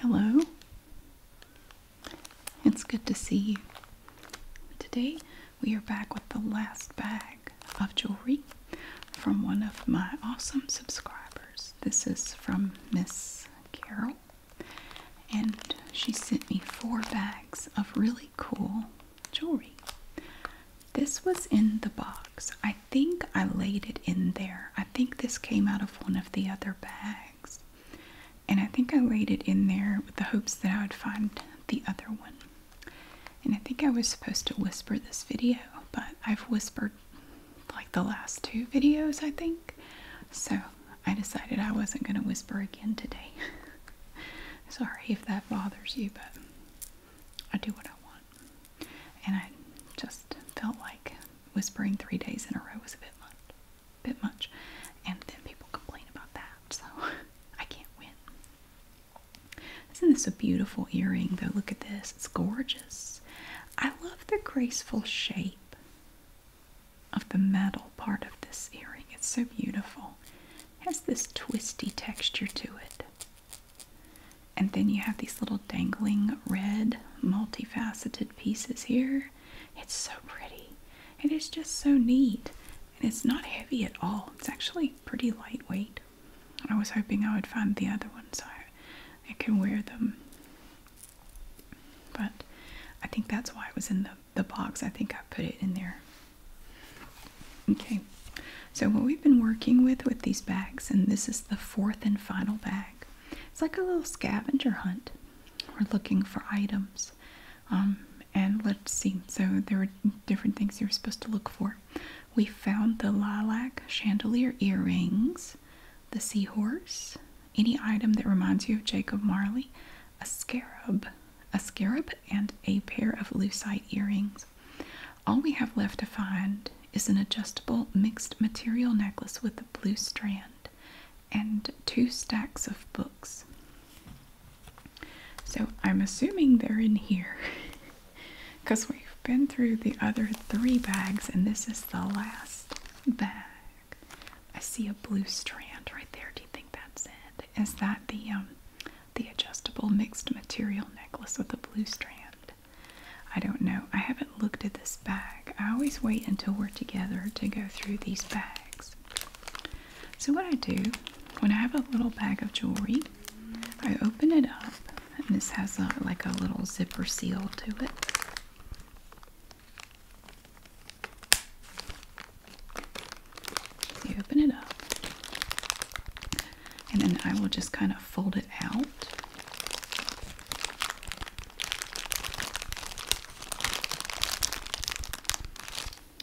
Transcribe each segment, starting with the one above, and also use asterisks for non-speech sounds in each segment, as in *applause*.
Hello. It's good to see you. Today we are back with the last bag of jewelry from one of my awesome subscribers. This is from Miss Carol, and she sent me four bags of really cool jewelry. This was in the box. I think I laid it in there. I think this came out of one of the other bags. And I think I laid it in there with the hopes that I would find the other one. And I think I was supposed to whisper this video, but I've whispered like the last two videos, I think. So I decided I wasn't going to whisper again today. *laughs* Sorry if that bothers you, but I do what I want. And I just felt like whispering three days in a row was a bit much. Bit much. And then people complain about that, so *laughs* I can't win. Isn't this a beautiful earring though? Look at this. It's gorgeous. I love the graceful shape of the metal part of this earring. It's so beautiful. It has this twisty texture to it. And then you have these little dangling red multifaceted pieces here. It's so pretty. It is just so neat. And it's not heavy at all. It's actually pretty lightweight. I was hoping I would find the other one so I could wear them. But I think that's why it was in the, the box. I think I put it in there. Okay, so what we've been working with with these bags, and this is the fourth and final bag, it's like a little scavenger hunt. We're looking for items. Um, and let's see, so there were different things you were supposed to look for. We found the lilac chandelier earrings the Seahorse, any item that reminds you of Jacob Marley, a scarab, a scarab, and a pair of lucite earrings. All we have left to find is an adjustable mixed material necklace with a blue strand and two stacks of books. So I'm assuming they're in here. *laughs* Because we've been through the other three bags, and this is the last bag. I see a blue strand right there. Do you think that's it? Is that the um, the adjustable mixed material necklace with the blue strand? I don't know. I haven't looked at this bag. I always wait until we're together to go through these bags. So what I do when I have a little bag of jewelry, I open it up and this has like a little zipper seal to it. you open it up. And then I will just kind of fold it out.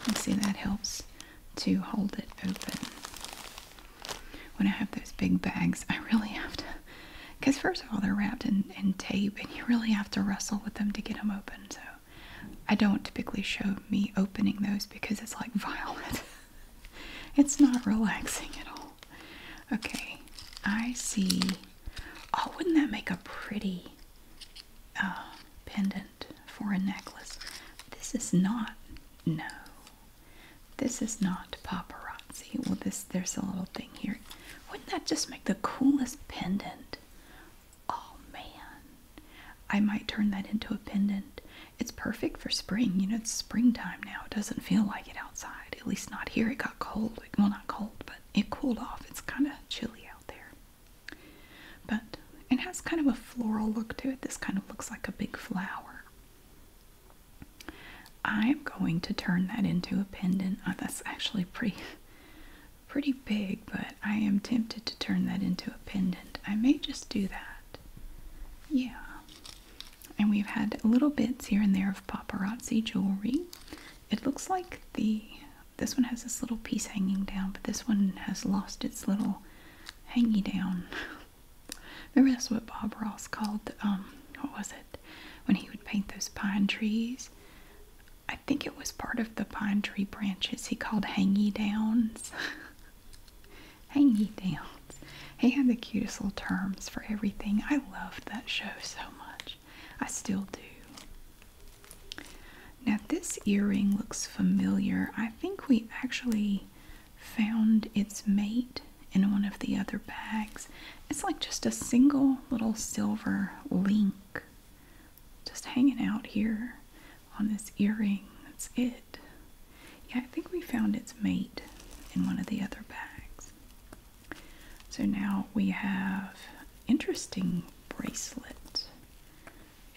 You see that helps to hold it open when I have those big bags, I really have to, because first of all, they're wrapped in, tape and you really have to wrestle with them to get them open. So I don't typically show me opening those because it's like *laughs* violent. it's not relaxing at all. Okay, I see. Oh, wouldn't that make a pretty uh, pendant for a necklace? This is not, no, this is not paparazzi. Well, this there's a little thing here. Wouldn't that just make the coolest pendant? Oh man. I might turn that into a pendant. It's perfect for spring. You know, it's springtime now. It doesn't feel like it outside. At least not here. It got cold. Well, not cold, but it cooled off. It's kind of chilly out there. But it has kind of a floral look to it. This kind of looks like a big flower. I'm going to turn that into a pendant. Oh, that's actually pretty pretty big, but I am tempted to turn that into a pendant. I may just do that. Yeah. And we've had little bits here and there of paparazzi jewelry. It looks like the this one has this little piece hanging down, but this one has lost its little hangy down *laughs* Remember that's what Bob Ross called um, what was it when he would paint those pine trees? I think it was part of the pine tree branches he called hangy downs. *laughs* hangy downs. He had the cutest little terms for everything. I loved that show so much. I still do. Now this earring looks familiar. I think we actually found its mate in one of the other bags. It's like just a single little silver link just hanging out here on this earring. That's it. Yeah, I think we found its mate in one of the other bags. So now we have interesting bracelet.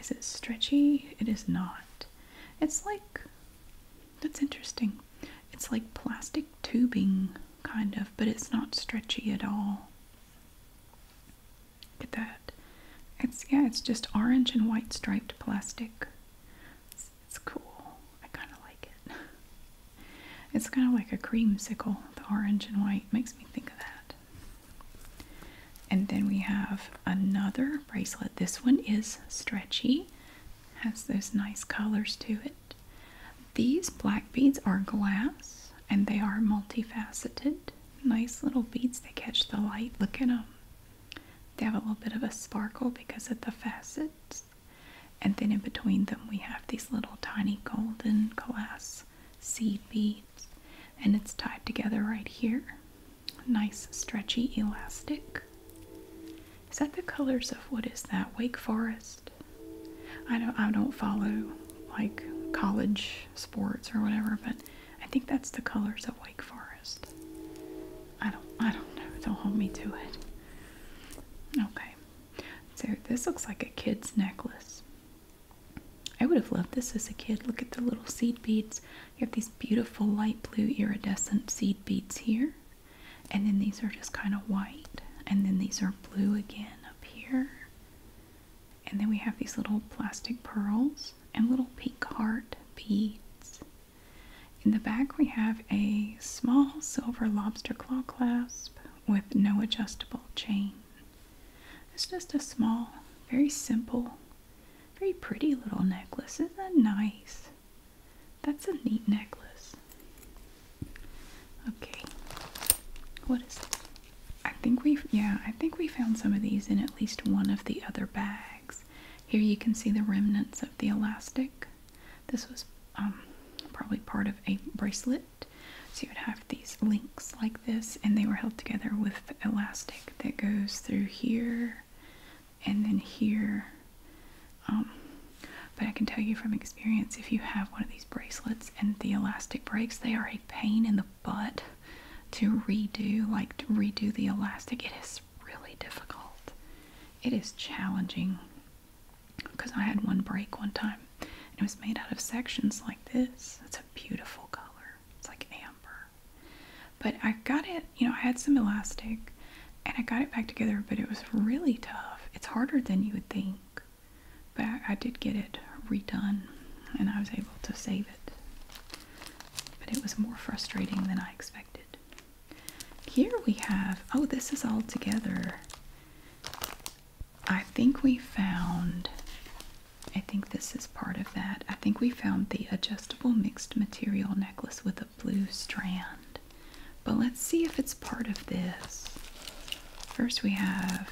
Is it stretchy? It is not. It's like that's interesting. It's like plastic tubing, kind of, but it's not stretchy at all. Look at that. It's, yeah, it's just orange and white striped plastic. It's, cool. I kind of like it. *laughs* It's kind of like a creamsicle, the orange and white. Makes me think of that. And then we have another bracelet. This one is stretchy, has those nice colors to it. These black beads are glass and they are multifaceted. Nice little beads, they catch the light. Look at them. They have a little bit of a sparkle because of the facets. And then in between them, we have these little tiny golden glass seed beads. And it's tied together right here. Nice, stretchy, elastic. Is that the colors of what is that? Wake Forest? I don't I don't follow like college sports or whatever, but I think that's the colors of Wake Forest. I don't I don't know. Don't hold me to it. Okay. So this looks like a kid's necklace. I would have loved this as a kid. Look at the little seed beads. You have these beautiful light blue iridescent seed beads here. And then these are just kind of white. And then these are blue again up here. And then we have these little plastic pearls and little pink heart beads. In the back we have a small silver lobster claw clasp with no adjustable chain. It's just a small, very simple, very pretty little necklace. Isn't that nice? That's a neat necklace. Okay. What is this? I think we've, yeah, I think we found some of these in at least one of the other bags. Here you can see the remnants of the elastic. This was um, probably part of a bracelet. So you would have these links like this, and they were held together with elastic that goes through here and then here um, but I can tell you from experience if you have one of these bracelets and the elastic breaks, they are a pain in the butt to redo, like redo the elastic. It is really difficult. It is challenging because I had one break one time it was made out of sections like this. It's a beautiful color. It's like amber. But I got it, you know, I had some elastic and I got it back together, but it was really tough. It's harder than you would think, but I, did get it redone and I was able to save it. But it was more frustrating than I expected. Here we have, oh, this is all together. I think we found, I think this is part of that. I think we found the adjustable mixed material necklace with a blue strand. But let's see if it's part of this. First, we have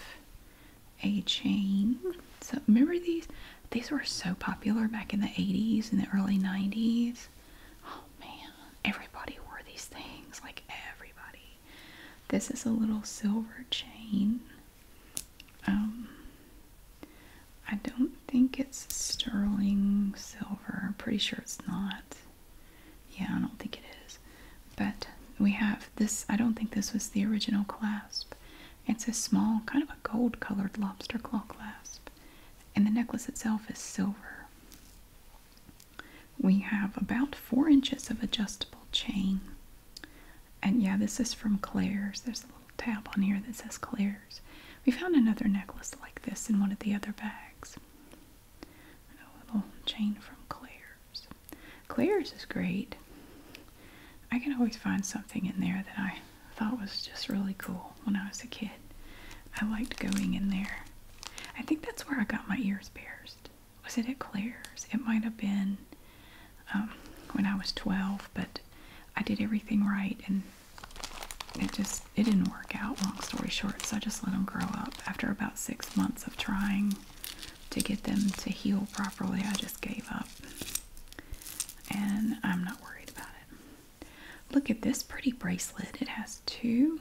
a chain. So, remember these? These were so popular back in the 80s and the early 90s. Oh man, everybody wore these things. Like, everybody. This is a little silver chain. Um, I don't think it's sterling silver. I'm pretty sure it's not. Yeah, I don't think it is. But we have this, I don't think this was the original clasp. It's a small, kind of a gold colored lobster claw clasp. And the necklace itself is silver. We have about four inches of adjustable chain. And yeah, this is from Claire's. There's a little tab on here that says Claire's. We found another necklace like this in one of the other bags a little chain from Claire's. Claire's is great. I can always find something in there that I thought was just really cool when I was a kid. I liked going in there. I think that's where I got my ears pierced. Was it at Claire's? It might have been um, when I was 12, but I did everything right and it just, it didn't work out, long story short, so I just let them grow up after about six months of trying to get them to heal properly. I just gave up. And I'm not worried about it. Look at this pretty bracelet. It has two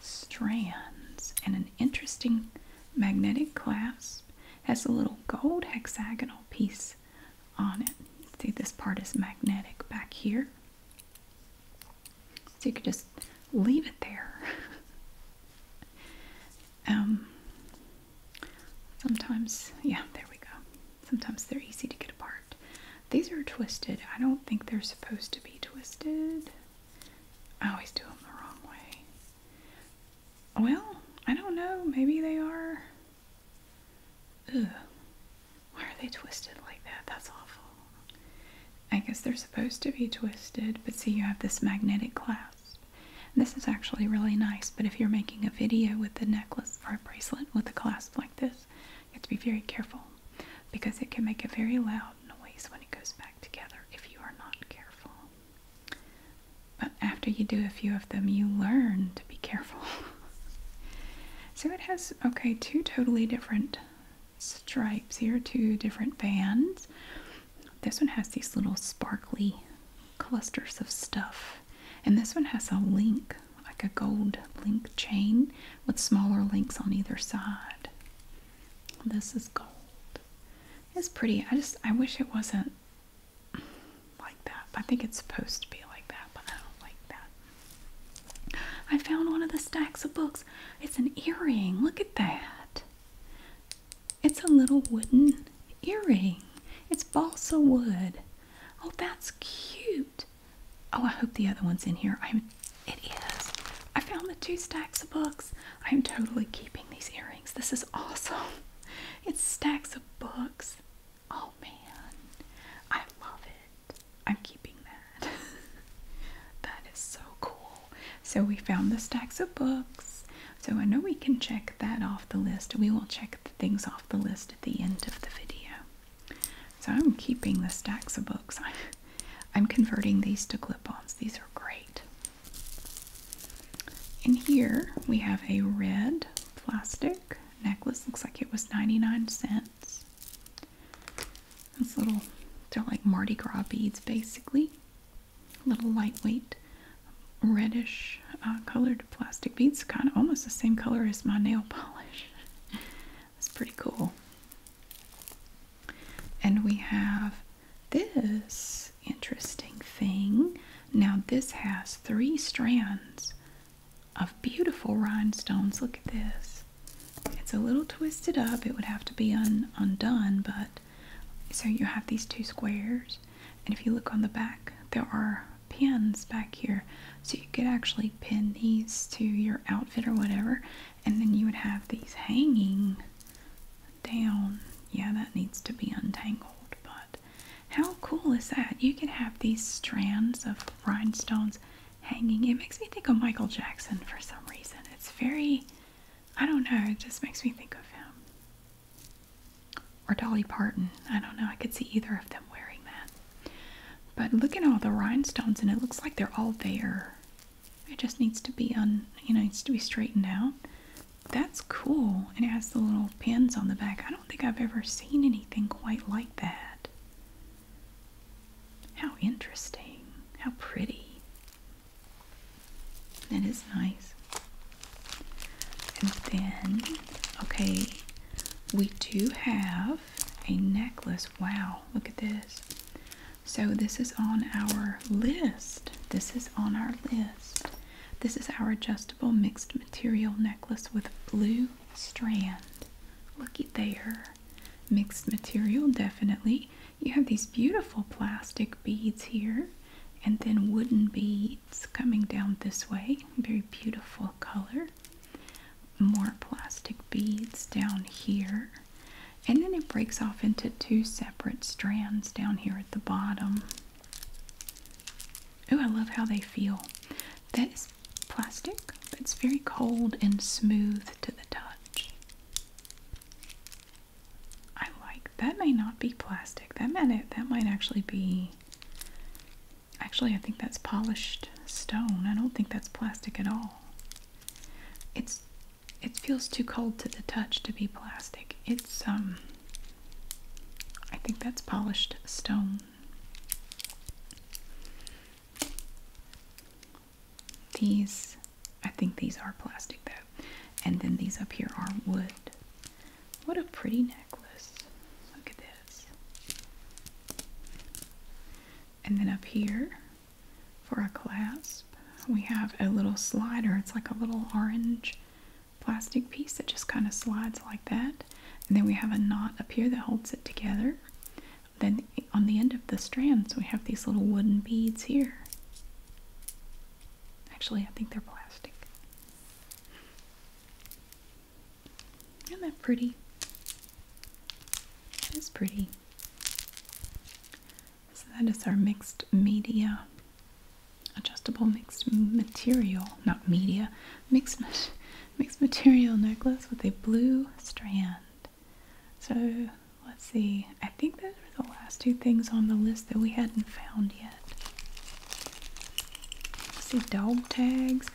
strands and an interesting magnetic clasp. Has a little gold hexagonal piece on it. See, this part is magnetic back here. So you could just leave it there. *laughs* Um, sometimes, yeah, there we go. Sometimes they're easy to get apart. These are twisted. I don't think they're supposed to be twisted. I always do them the wrong way. Well, I don't know. Maybe they are. Why are they twisted like that? That's awful. I guess they're supposed to be twisted, but see you have this magnetic clasp. this is actually really nice, but if you're making a video with the necklace or a bracelet with a clasp like this, you have to be very careful because it can make a very loud noise when it goes back together if you are not careful. But after you do a few of them, you learn to be careful. *laughs* so it has, okay, two totally different stripes here, two different bands. This one has these little sparkly clusters of stuff. And this one has a link, like a gold link chain with smaller links on either side. This is gold. It's pretty. I just, I wish it wasn't like that. I think it's supposed to be like that, but I don't like that. I found one of the stacks of books it's an earring. Look at that. It's a little wooden earring. It's balsa wood. Oh, that's cute. Oh, I hope the other one's in here. I'm it is. I found the two stacks of books. I'm totally keeping these earrings. This is awesome. *laughs* It's stacks of books. Oh man. I love it. I'm keeping that. *laughs* that is so cool. So we found the stacks of books. So I know we can check that off the list. We will check things off the list at the end of the video. So I'm keeping the stacks of books. *laughs* I'm converting these to clip-ons. These are great. In here we have a red plastic necklace. Looks like it was 99 cents. Those little, they're like Mardi Gras beads basically. Little lightweight, reddish uh, colored plastic beads, kind of almost the same color as my nail *laughs* polish. It's pretty cool. And we have this interesting thing. Now, this has three strands of beautiful rhinestones. Look at this. It's a little twisted up. It would have to be undone, but so you have these two squares, and if you look on the back, there are pins back here. So you could actually pin these to your outfit or whatever, and then you would have these hanging down. Yeah, that needs to be untangled. But how cool is that? You could have these strands of rhinestones hanging. It makes me think of Michael Jackson for some reason. It's very I don't know, it just makes me think of him. Or Dolly Parton. I don't know, I could see either of them wearing that. But look at all the rhinestones and it looks like they're all there. It just needs to be un you know, needs to be straightened out. That's cool. And it has the little pins on the back. I don't think I've ever seen anything quite like that. How interesting. How pretty. That is nice. And then, okay, we do have a necklace. Wow, look at this. So, this is on our list. This is on our list. This is our adjustable mixed material necklace with blue strand. Looky there mixed material, definitely. You have these beautiful plastic beads here, and then wooden beads coming down this way. Very beautiful color. More plastic beads down here. And then it breaks off into two separate strands down here at the bottom. Oh, I love how they feel. That is plastic, it's very cold and smooth to the touch i like, that may not be plastic. That might that might actually be Actually, I think that's polished stone. I don't think that's plastic at all. It's it feels too cold to the touch to be plastic. It's um I think that's polished stone. These, I think these are plastic though. And then these up here are wood. What a pretty necklace. Look at this. And then up here for a clasp, we have a little slider. It's like a little orange plastic piece that just kind of slides like that. And then we have a knot up here that holds it together. Then on the end of the strands, we have these little wooden beads here. Actually, I think they're plastic. Isn't that pretty? It is pretty. So that is our mixed media, adjustable mixed material, not media, mixed, *laughs* mixed material necklace with a blue strand. So let's see. I think those are the last two things on the list that we hadn't found yet. see dog tags.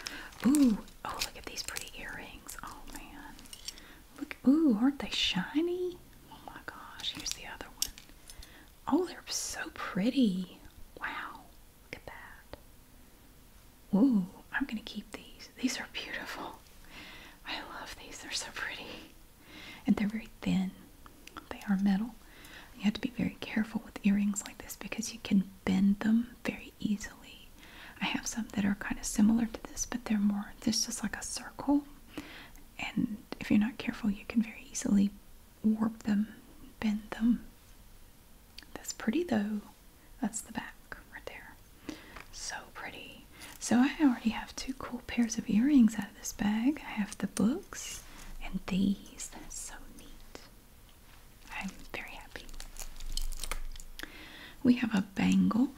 Ooh, oh look at these pretty earrings. Oh man. Look ooh, aren't they shiny? Oh my gosh, here's the other one. Oh, they're so pretty. Wow. Look at that. Ooh, I'm gonna keep these. These are beautiful. I love these. They're so pretty and they're very thin. They are metal. You have to be very careful with earrings like this because you can bend them very easily. I have some that are kind of similar to this, but they're more, there's just like a circle. And if you're not careful, you can very easily warp them, bend them. That's pretty though. That's the back right there. So pretty so I already have two cool pairs of earrings out of this bag. I have the books and these. That's so neat. I'm very happy. We have a bangle.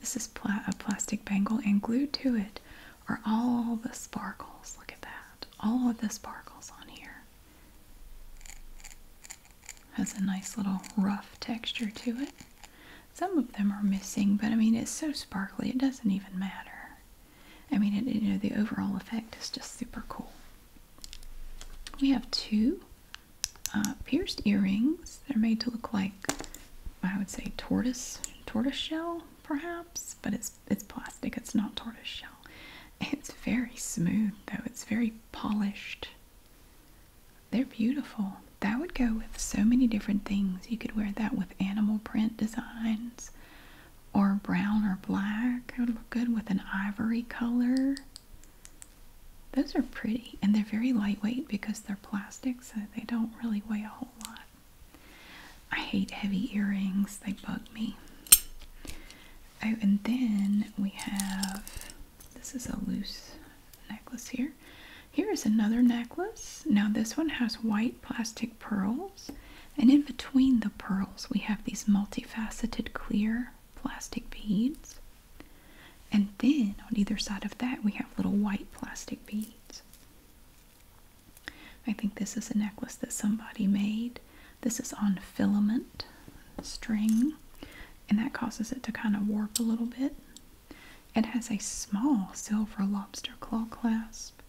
This is a plastic bangle, and glued to it are all the sparkles. Look at that. All of the sparkles on here. Has a nice little rough texture to it. Some of them are missing, but I mean, it's so sparkly, it doesn't even matter. I mean, you know, the overall effect is just super cool. We have two uh, pierced earrings. They're made to look like, I would say, tortoise, tortoise shell, perhaps, but it's it's plastic. It's not tortoise shell. It's very smooth, though. It's very polished. They're beautiful that would go with so many different things. You could wear that with animal print designs or brown or black. It would look good with an ivory color. Those are pretty and they're very lightweight because they're plastic, so they don't really weigh a whole lot. I hate heavy earrings, they bug me. Oh, and then we have this is a loose necklace here. Here is another necklace. Now, this one has white plastic pearls, and in between the pearls, we have these multifaceted clear plastic beads. And then on either side of that, we have little white plastic beads. I think this is a necklace that somebody made. This is on filament string, and that causes it to kind of warp a little bit. It has a small silver lobster claw clasp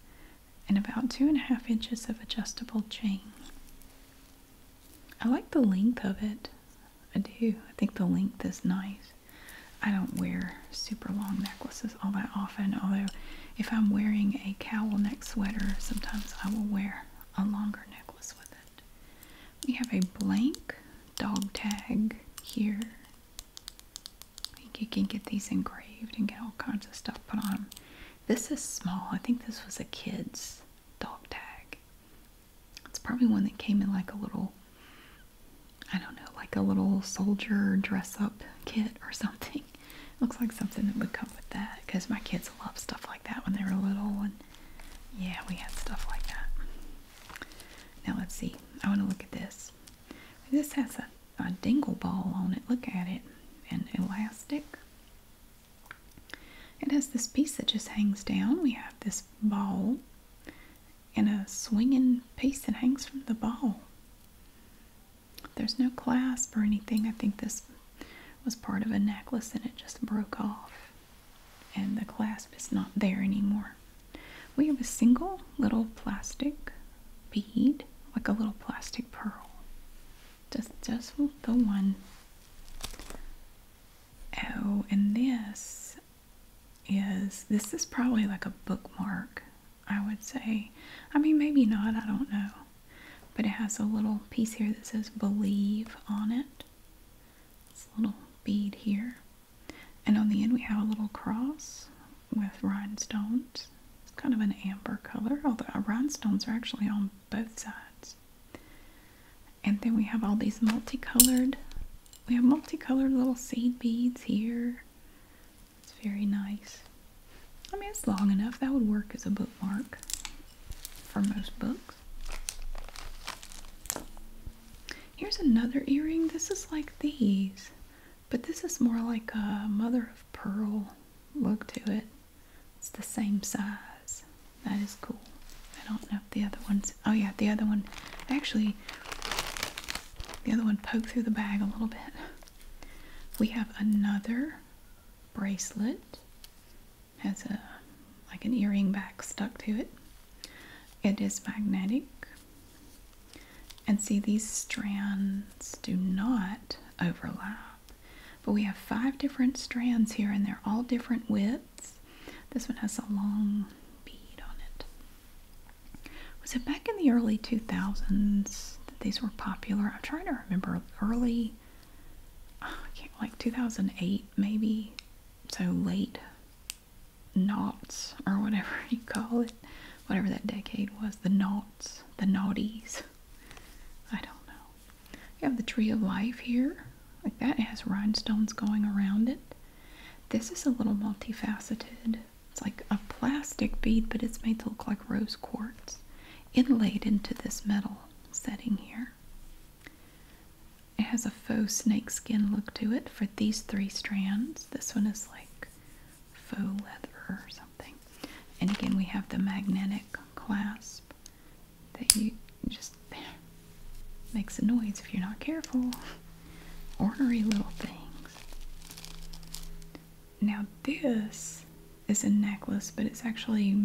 and about two and a half inches of adjustable chain. I like the length of it. I do. I think the length is nice. I don't wear super long necklaces all that often, although if I'm wearing a cowl neck sweater, sometimes I will wear a longer necklace with it. We have a blank dog tag here you can get these engraved and get all kinds of stuff put on them. This is small. I think this was a kid's dog tag. It's probably one that came in like a little, I don't know, like a little soldier dress up kit or *laughs* something. Looks like something that would come with that because my kids loved stuff like that when they were little. And yeah, we had stuff like that. Now let's see. I want to look at this. This has a, dingle ball on it. Look at it. An elastic. It has this piece that just hangs down. We have this ball and a swinging piece that hangs from the ball. There's no clasp or anything. I think this was part of a necklace and it just broke off. And the clasp is not there anymore. We have a single little plastic bead, like a little plastic pearl. Just, just the one. Oh, and this is, this is probably like a bookmark, I would say. I mean, maybe not, I don't know. But it has a little piece here that says believe on it. It's a little bead here. And on the end we have a little cross with rhinestones. It's kind of an amber color, although rhinestones are actually on both sides. And then we have all these multicolored, we have multicolored little seed beads here. It's very nice. I mean, it's long enough. That would work as a bookmark for most books. Here's another earring. This is like these. But this is more like a mother of pearl look to it. It's the same size. That is cool. I don't know if the other one's. Oh, yeah, the other one. Actually, the other one poked through the bag a little bit. We have another bracelet. Has a like an earring back stuck to it. It is magnetic. And see, these strands do not overlap, but we have five different strands here, and they're all different widths. This one has a long bead on it. Was it back in the early 2000s that these were popular? I'm trying to remember early, oh, like 2008 maybe, so late knots or whatever *laughs* you call it whatever that decade was, the noughts, the noughties. I don't know. You have the Tree of Life here. Like that, has rhinestones going around it. This is a little multifaceted. It's like a plastic bead, but it's made to look like rose quartz inlaid into this metal setting here. It has a faux snake skin look to it for these three strands. This one is like faux leather or something. And again, we have the magnetic clasp that you just makes a noise if you're not careful. Ornery little things. Now this is a necklace, but it's actually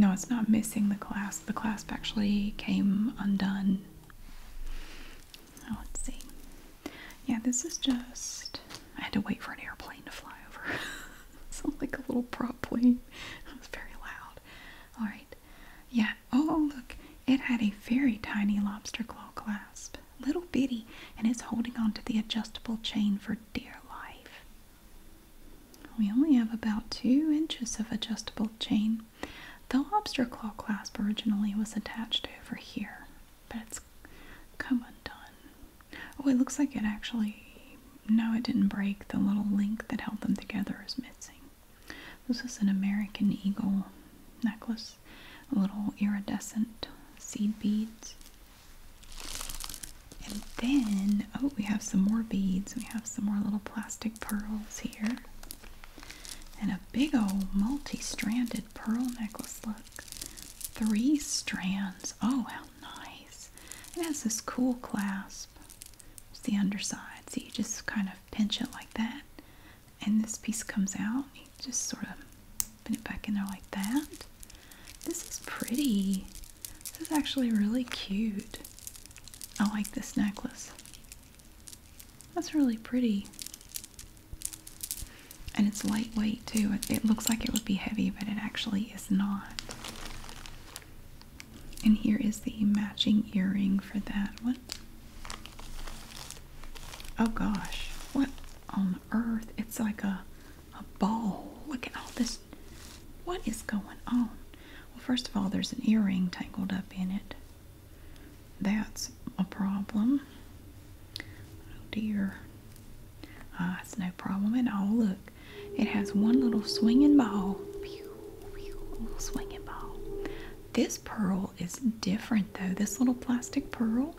no, it's not missing the clasp. The clasp actually came undone. Oh, let's see. Yeah, this is just. I had to wait for an airplane to fly over. *laughs* Sounds like a little prop plane. It was very loud. Alright. Yeah. Oh, look. It had a very tiny lobster claw clasp. Little bitty. And it's holding onto the adjustable chain for dear life. We only have about two inches of adjustable chain. The lobster claw clasp originally was attached over here but it's come undone. Oh, it looks like it actually. No, it didn't break. The little link that held them together is missing. This is an American Eagle necklace, little iridescent seed beads. And then, oh, we have some more beads. We have some more little plastic pearls here. And a big old multi stranded pearl necklace. Three strands. Oh, how nice. It has this cool clasp. It's the underside. So you just kind of pinch it like that. And this piece comes out. You just sort of put it back in there like that. This is pretty. This is actually really cute. I like this necklace. That's really pretty. And it's lightweight too. It, looks like it would be heavy, but it actually is not. And here is the matching earring for that one. Oh gosh, what on earth? It's like a, a ball. Look at all this. What is going on? Well, first of all, there's an earring tangled up in it. That's a problem. Oh dear. Uh, it's no problem at all. Look, it has one little swinging ball. little swinging ball. This pearl is different though. This little plastic pearl,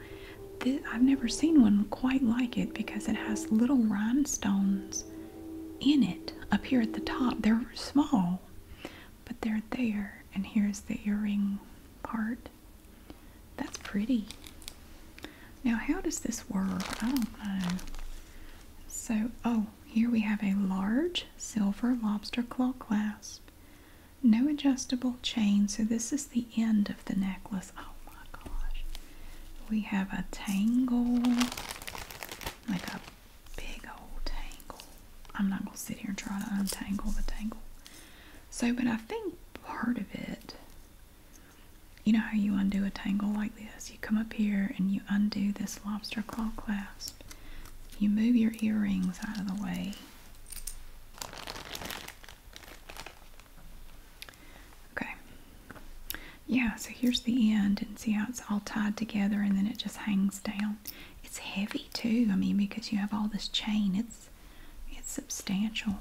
this, I've never seen one quite like it because it has little rhinestones in it up here at the top. They're small, but they're there. And here's the earring part. That's pretty. Now, how does this work? I don't know. So, oh, here we have a large silver lobster claw clasp. No adjustable chain, so this is the end of the necklace. Oh my gosh. We have a tangle, like a big old tangle. I'm not going to sit here and try to untangle the tangle. So, but I think part of it. You know how you undo a tangle like this? You come up here and you undo this lobster claw clasp. You move your earrings out of the way. Okay. Yeah, so here's the end and see how it's all tied together and then it just hangs down. It's heavy too, I mean, because you have all this chain. It's it's substantial.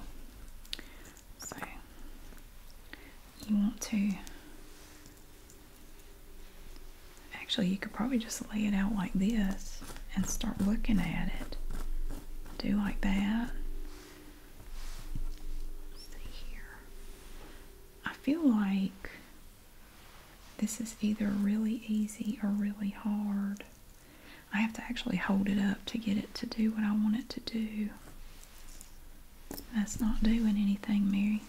So you want to actually, you could probably just lay it out like this and start looking at it. Do like that. see here. I feel like this is either really easy or really hard. I have to actually hold it up to get it to do what I want it to do. That's not doing anything, Mary.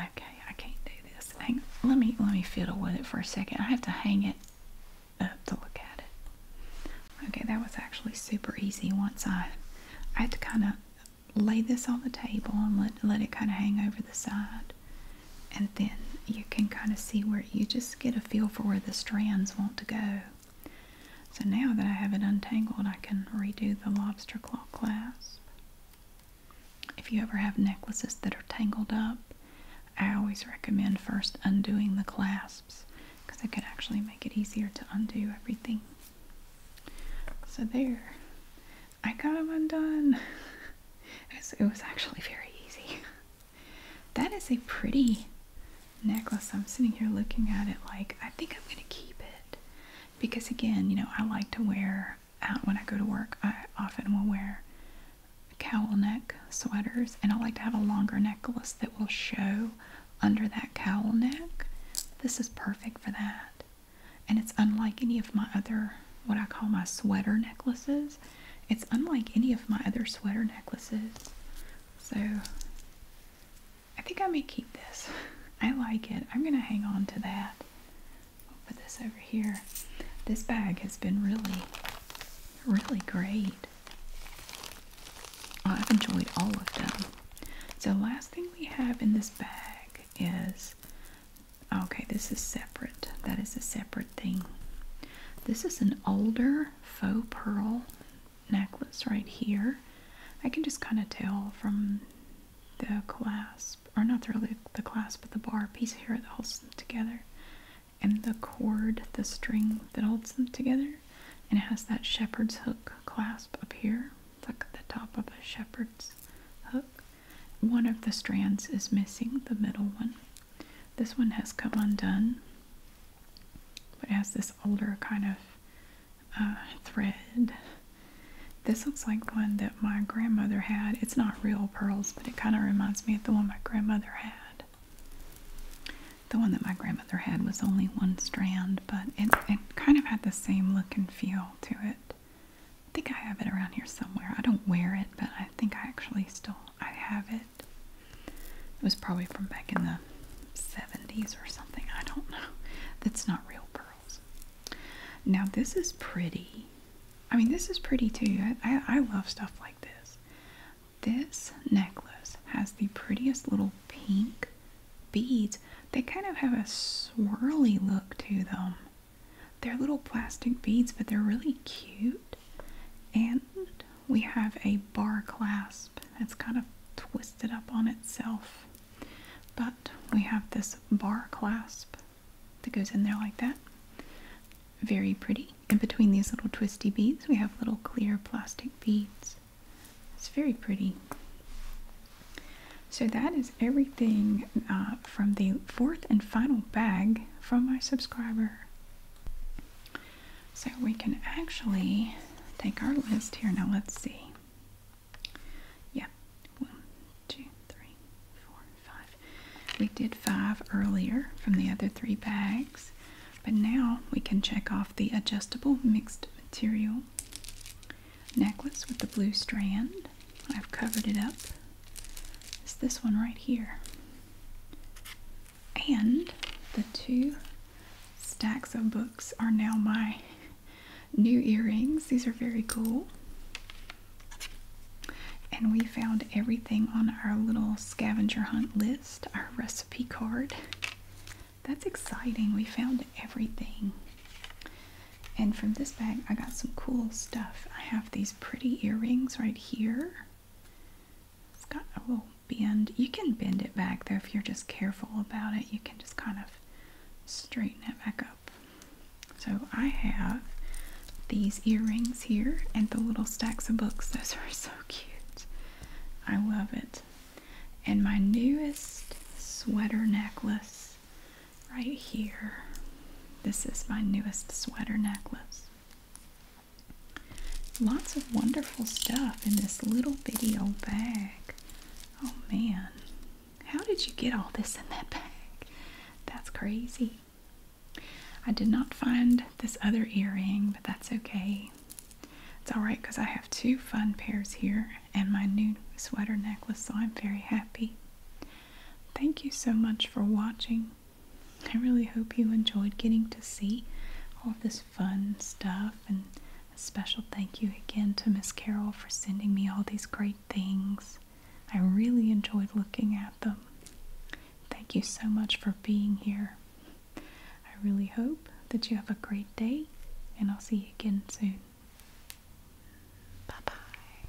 Okay, I can't do this. Hang, let me let me fiddle with it for a second. I have to hang it up to look at it. Okay, that was actually super easy once I I had to kind of lay this on the table and let let it kind of hang over the side and then you can kind of see where you just get a feel for where the strands want to go. So now that I have it untangled, I can redo the lobster claw clasp. If you ever have necklaces that are tangled up, I always recommend first undoing the clasps because it can actually make it easier to undo everything. So there, I got them undone. *laughs* It was, actually very easy. That is a pretty necklace. I'm sitting here looking at it like I think I'm going to keep it because, again, you know, I like to wear out when I go to work. I often will wear cowl neck sweaters, and I like to have a longer necklace that will show under that cowl neck. This is perfect for that and it's unlike any of my other what I call my sweater necklaces. It's unlike any of my other sweater necklaces. So I think I may keep this. *laughs* I like it. I'm going to hang on to that. I'll put this over here. This bag has been really, really great. Oh, I've enjoyed all of them. So last thing we have in this bag is Okay, this is separate. That is a separate thing. This is an older faux pearl necklace right here. I can just kind of tell from the clasp, or not really the clasp, but the bar piece here that holds them together, and the cord, the string that holds them together, and it has that shepherd's hook clasp up here. It's like the top of a shepherd's hook, one of the strands is missing, the middle one. This one has come undone, but has this older kind of uh, thread. This looks like one that my grandmother had. It's not real pearls, but it kind of reminds me of the one my grandmother had. The one that my grandmother had was only one strand, but it kind of had the same look and feel to it. I think I have it around here somewhere. I don't wear it, but I think I actually still I have it. It was probably from back in the 70s or something. I don't know. That's not real pearls. Now this is pretty. I mean, this is pretty too. I, I, love stuff like this. This necklace has the prettiest little pink beads. They kind of have a swirly look to them. They're little plastic beads, but they're really cute. And we have a bar clasp. It's kind of twisted up on itself. But we have this bar clasp that goes in there like that. Very pretty. And between these little twisty beads, we have little clear plastic beads. It's very pretty. So that is everything uh, from the fourth and final bag from my subscriber. So we can actually take our list here. Now let's see. Yeah, one, two, three, four, five. We did five earlier from the other three bags, but now we can check off the adjustable mixed material necklace with the blue strand. I've covered it up It's this one right here. And the two stacks of books are now my new earrings. These are very cool. And we found everything on our little scavenger hunt list, our recipe card. That's exciting. We found everything. And from this bag, I got some cool stuff. I have these pretty earrings right here. It's got a little bend. You can bend it back though if you're just careful about it. You can just kind of straighten it back up. So I have these earrings here and the little stacks of books. *laughs* Those are so cute. I love it. And my newest sweater necklace right here. This is my newest sweater necklace. Lots of wonderful stuff in this little bitty old bag. Oh man, how did you get all this in that *laughs* bag? That's crazy. I did not find this other earring, but that's okay. It's alright because I have two fun pairs here and my new sweater necklace, so I'm very happy. Thank you so much for watching. I really hope you enjoyed getting to see all of this fun stuff and a special thank you again to Miss Carol for sending me all these great things. I really enjoyed looking at them. Thank you so much for being here. I really hope that you have a great day and I'll see you again soon. Bye bye.